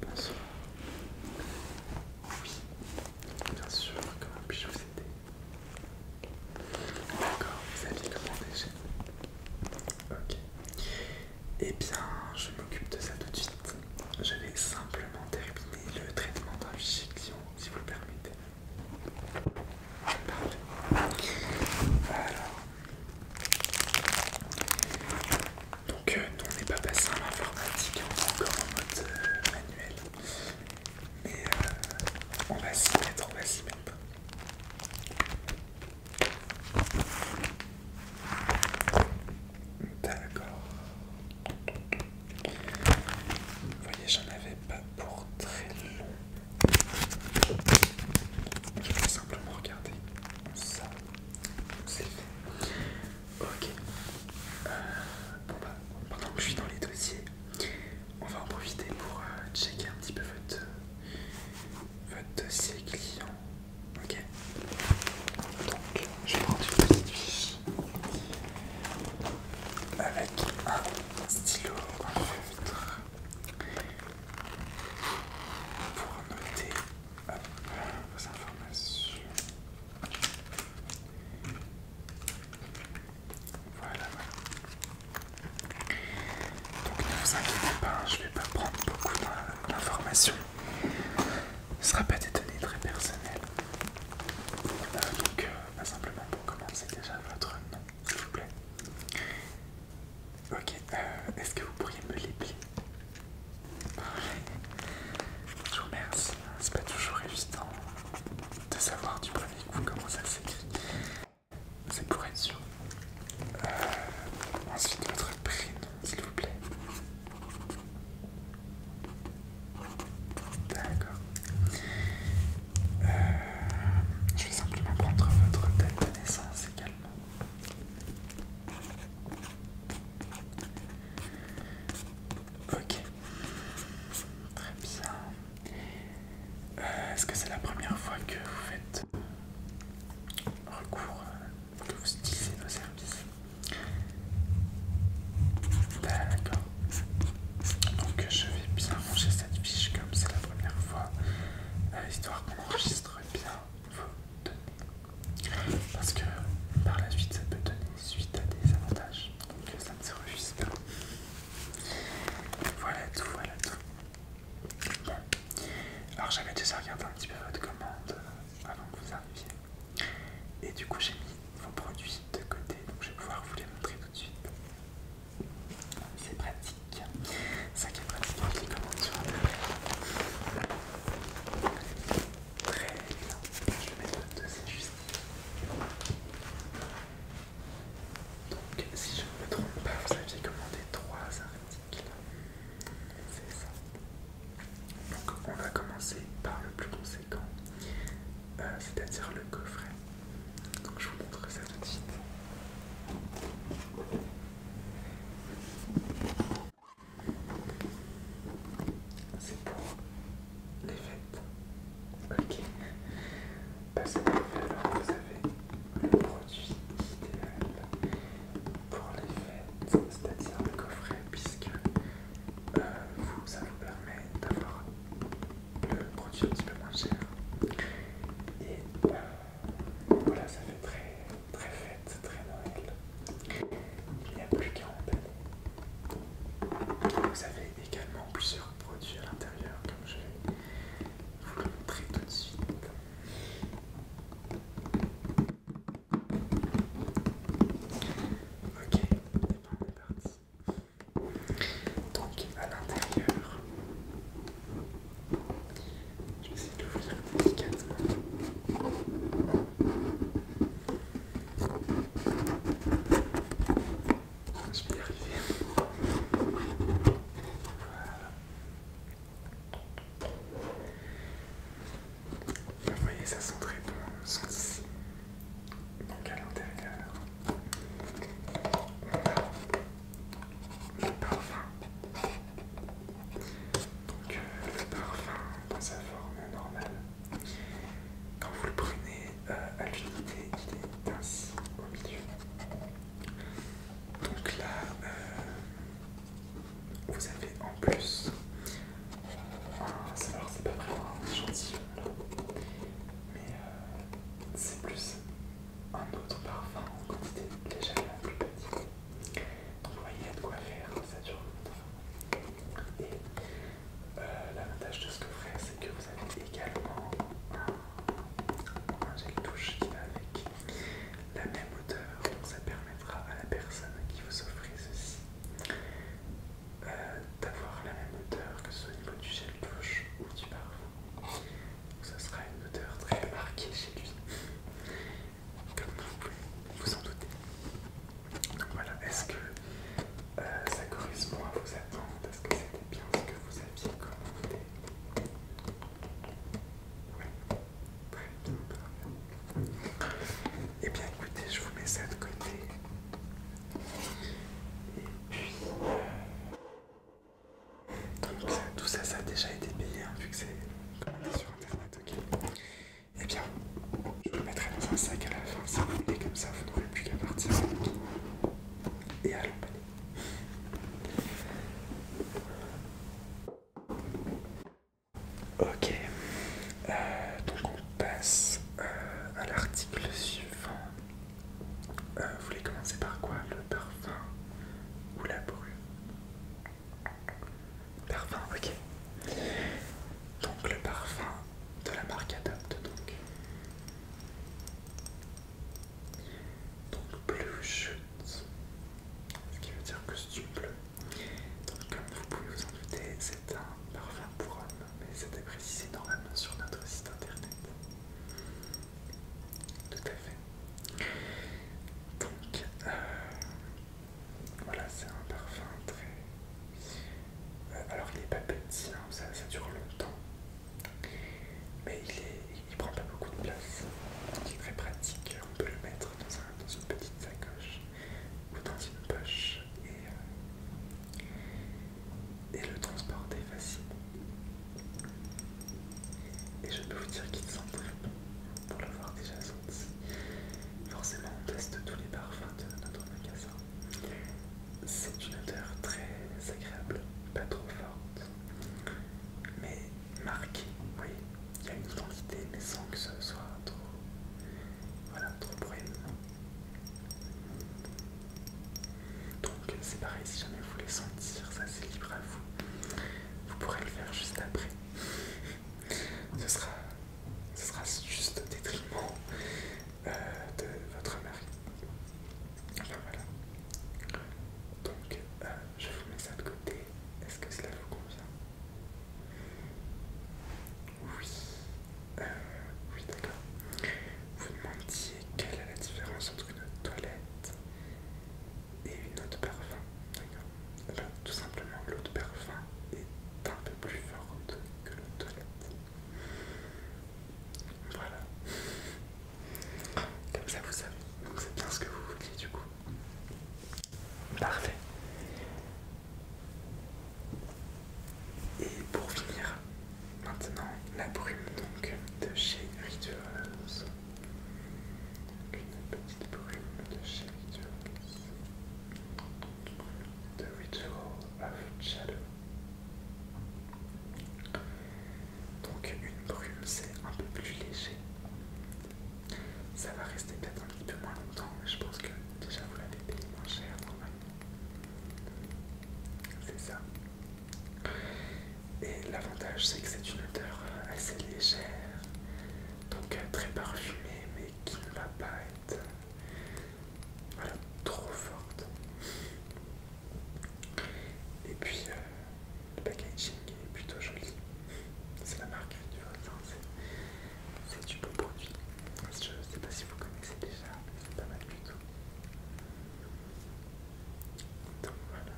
Bonsoir. Oui, bien sûr, comment puis-je vous aider D'accord, vous aviez commandé chez Ok. Eh bien, je m'occupe de ça tout de suite. Je vais simplement terminer le traitement d'un si vous le permettez. Parfait. Alors. Donc, euh, nous on n'est pas passé en informatique hein, on est encore en mode euh, manuel. Mais euh, on va s'y mettre, on va s'y mettre. D'accord. Vous voyez, j'en avais pas pour très long. Je vais simplement regarder ça c'est fait. Ok. Euh, bon bah, pendant que je suis dans les dossiers, on va en profiter pour euh, checker un petit peu votre, dossier client. Ok. Donc, je prends une petite fiche avec un stylo, un feutre pour noter vos informations. Voilà, Donc ne vous inquiétez pas, hein, je ne vais pas prendre beaucoup d'informations. Ce ne sera pas des données très personnelles. Euh, donc, pas euh, bah, simplement pour commencer déjà votre nom, s'il vous plaît. Ok, euh, est-ce que vous pourriez me libérer Je vous remercie. C'est pas toujours évident de savoir du premier coup comment ça s'écrit. C'est pour être sûr. Euh, ensuite, votre prénom, s'il vous plaît. D'accord. Euh, je vais simplement prendre votre date de naissance également. Ok. Très bien. Euh, est-ce que c'est la première fois que vous faites recours, euh, que vous utilisez nos services D'accord. Donc je vais bien ranger cette fiche comme c'est la première fois, euh, histoire qu'on enregistre bien vos données. Parce que par la suite, ça peut donner suite à des avantages. Donc euh, ça ne se refuse pas. Voilà tout, voilà tout. Bon. Alors j'avais déjà regardé un petit peu votre commande euh, avant que vous arriviez. Et du coup j'ai mis vos produits de côté. Donc je vais pouvoir vous les montrer tout de suite. C'est pratique. Ça qui est pratique avec les commandes sur Très bien. Je vais mettre deux injustices. juste Donc, si je ne me trompe pas, vous aviez commandé trois articles. C'est ça. Donc, on va commencer par le plus conséquent, euh, c'est-à-dire le coffret. Donc je vous montre ça tout de suite. C'est pour les fêtes. Ok. Parce que alors vous avez le produit idéal pour les fêtes, c'est-à-dire le coffret, puisque euh, vous, ça vous permet d'avoir le produit un petit peu moins cher. Et euh, voilà, ça fait très, très fête, très Noël. Il n'y a plus qu'à années. Vous avez également plusieurs produits à l'intérieur, comme je vais vous le montrer tout de suite. Ok, c'est parti. Donc à l'intérieur, je vais essayer de l'ouvrir délicatement. Je vais y arriver. Voilà. Vous voyez, ça sent très bon, on sent ici donc à l'intérieur, on a le parfum. Donc euh, le parfum dans sa forme normale. Quand vous le prenez euh, à l'unité, il est ainsi au milieu. Donc là, euh, vous avez en plus, un, alors c'est pas vraiment gentil, mais euh, c'est plus un autre parfum en quantité légèrement plus petite. Donc vous voyez, il y a de quoi faire, ça dure temps Et euh, l'avantage de ce coffret, c'est que vous avez également un, touche gel qui va avec la même odeur donc ça permettra à la personne qui vous offre ceci euh, d'avoir la même odeur que ce soit au niveau du gel douche ou du parfum. Ce ça sera une odeur très marquée chez lui, comme vous pouvez vous en doutez. Donc voilà, est-ce que euh, ça correspond à vos attentes Est-ce que c'était bien ce que vous aviez commandé Oui, très bien, et eh bien écoutez, je vous mets ça de côté. Et puis, tout ça, ça a déjà été payé, hein, vu que c'est sur internet, ok Eh bien, je vous le mettrai dans un sac à la fin, si vous comme ça, vous n'aurez plus qu'à partir et à l'emballer. Ok, euh, donc passe euh, à l'article suivant. Euh, vous voulez commencer par quoi Le parfum ou la brume Parfum, ok. Donc le parfum de la marque Adopt donc. Donc bleu ce qui veut dire du bleu. Donc comme vous pouvez vous en douter, c'est un parfum pour homme, mais c'était précisé normalement sur notre site internet. Tout à fait. Donc, euh, voilà, c'est un parfum très. Euh, alors, il n'est pas petit, hein, ça, dure longtemps, mais il ne prend pas beaucoup de place. Il est très pratique, on peut le mettre dans une petite sacoche ou dans une poche et, euh, transport le transporter facile. Et je peux vous dire qu'il sent très bon pour l'avoir déjà senti. Forcément, on teste tous les parfums de notre magasin. C'est une odeur très agréable, pas trop forte, mais marquée, oui. Il y a une identité, mais sans que ce soit trop voilà, trop Donc euh, c'est pareil, si jamais vous voulez sentir, ça c'est libre à vous. Vous pourrez le faire juste après. ce, sera, ce sera juste au détriment euh, de votre mari. voilà. Donc euh, je vous mets ça de côté. Est-ce que cela vous convient oui, euh, oui d'accord. Vous demandiez quelle est la différence entre une toilette et une eau de parfum, d'accord bien Tout simplement, l'eau de parfum est un peu plus forte que l'eau toilette. Voilà. Comme ça, vous savez. Donc, c'est bien ce que vous vouliez du coup. Parfait. Et pour finir, maintenant la brume donc de chez Rituals. Une petite brume de chez Rituals. The Ritual of Shadow. Donc une brume c'est un peu plus léger. Ça va rester peut-être un petit peu moins longtemps, mais je pense que déjà vous l'avez payé moins cher normalement. C'est ça. Et l'avantage, c'est que c'est une odeur assez légère, donc euh, très parfumée, mais qui ne va pas être trop forte. Et puis euh, le packaging est plutôt joli c'est la marque du hein, c'est du beau produit. Je ne sais pas si vous connaissez déjà, mais c'est pas mal du tout. Donc voilà.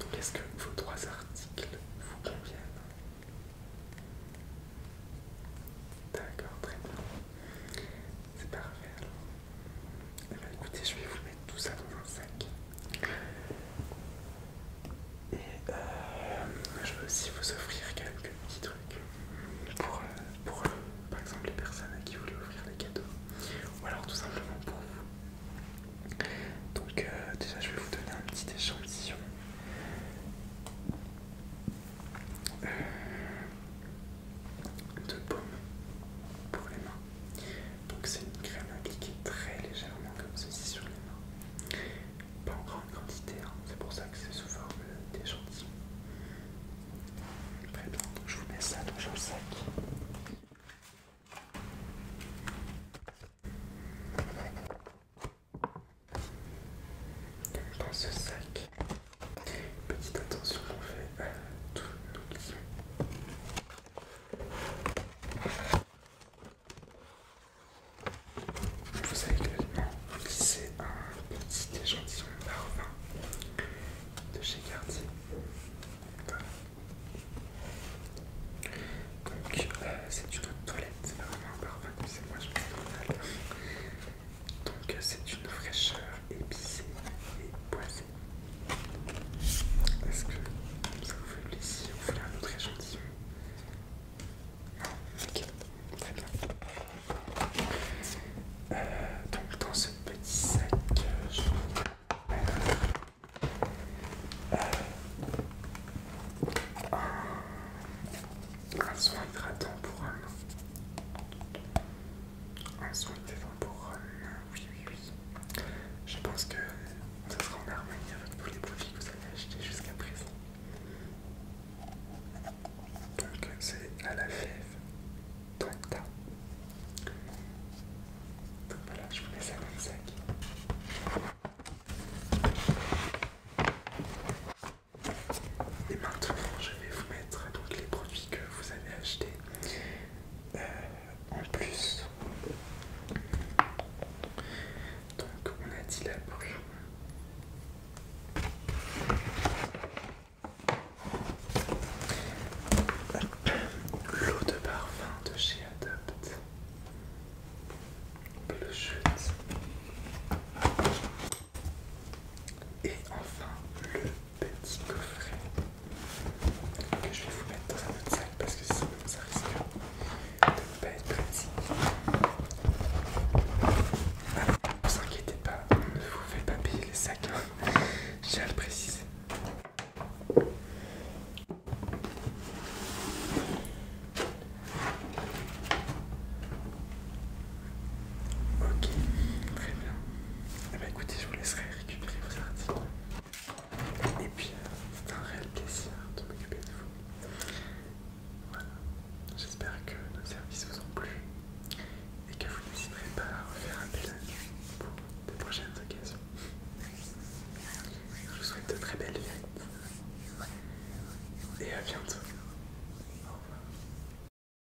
Donc est-ce que vos trois articles vous conviennent D'accord, très bien. C'est parfait alors. Eh bien écoutez, je vais vous tout ça dans un sac. Et euh, je vais aussi vous offrir quelques petits trucs pour, euh, euh, par exemple les personnes à qui vous voulez offrir des cadeaux ou alors tout simplement pour vous. Donc déjà je vais vous donner un petit échantillon. de paume pour les mains. Donc c'est une crème appliquée très légèrement comme ceci sur les mains. Pas en grande quantité, hein. c'est pour ça que c'est sous forme d'échantillon. Très bien, donc je vous mets ça dans le sac. Dans ce sac, petite attention qu'on fait à tout nos vous savez également c'est un petit échantillon parfum de chez Cartier. Donc, euh, c'est une toilette, c'est vraiment un parfum, c'est moi je pense mal. Donc, euh, c'est une fraîcheur épicée et poisson. Est-ce que ça vous fait plaisir Vous faites un autre échantillon Non ah, Ok, très bien. Euh, donc dans ce petit sac, euh, je vous euh, un, soin hydratant pour un. Un soin hydratant pour un. oui, oui, oui. Je pense que ça sera en harmonie avec tous les produits que vous avez achetés jusqu'à présent. Donc c'est à la fève Donc voilà, je vous mets ça dans le sac. Et maintenant, je vais vous mettre tous les produits que vous avez achetés euh, en plus. Donc on a dit la brume. L'eau de parfum de chez Adopt. le Et enfin le petit coffret que je vais vous mettre dans un autre sac parce que sinon ça risque de ne pas être pratique. ne ah, vous inquiétez pas, on ne vous fait pas payer les sacs, hein. j'ai à le préciser. Ok, très bien. Eh bien écoutez, je vous laisserai récupérer vos articles. Et puis, euh, c'est un réel plaisir de m'occuper de vous. Voilà. J'espère que nos services vous ont plu et que vous n'hésiterez pas à refaire un délai pour de prochaines occasions. Je vous souhaite de très belles fêtes et à bientôt. Au revoir.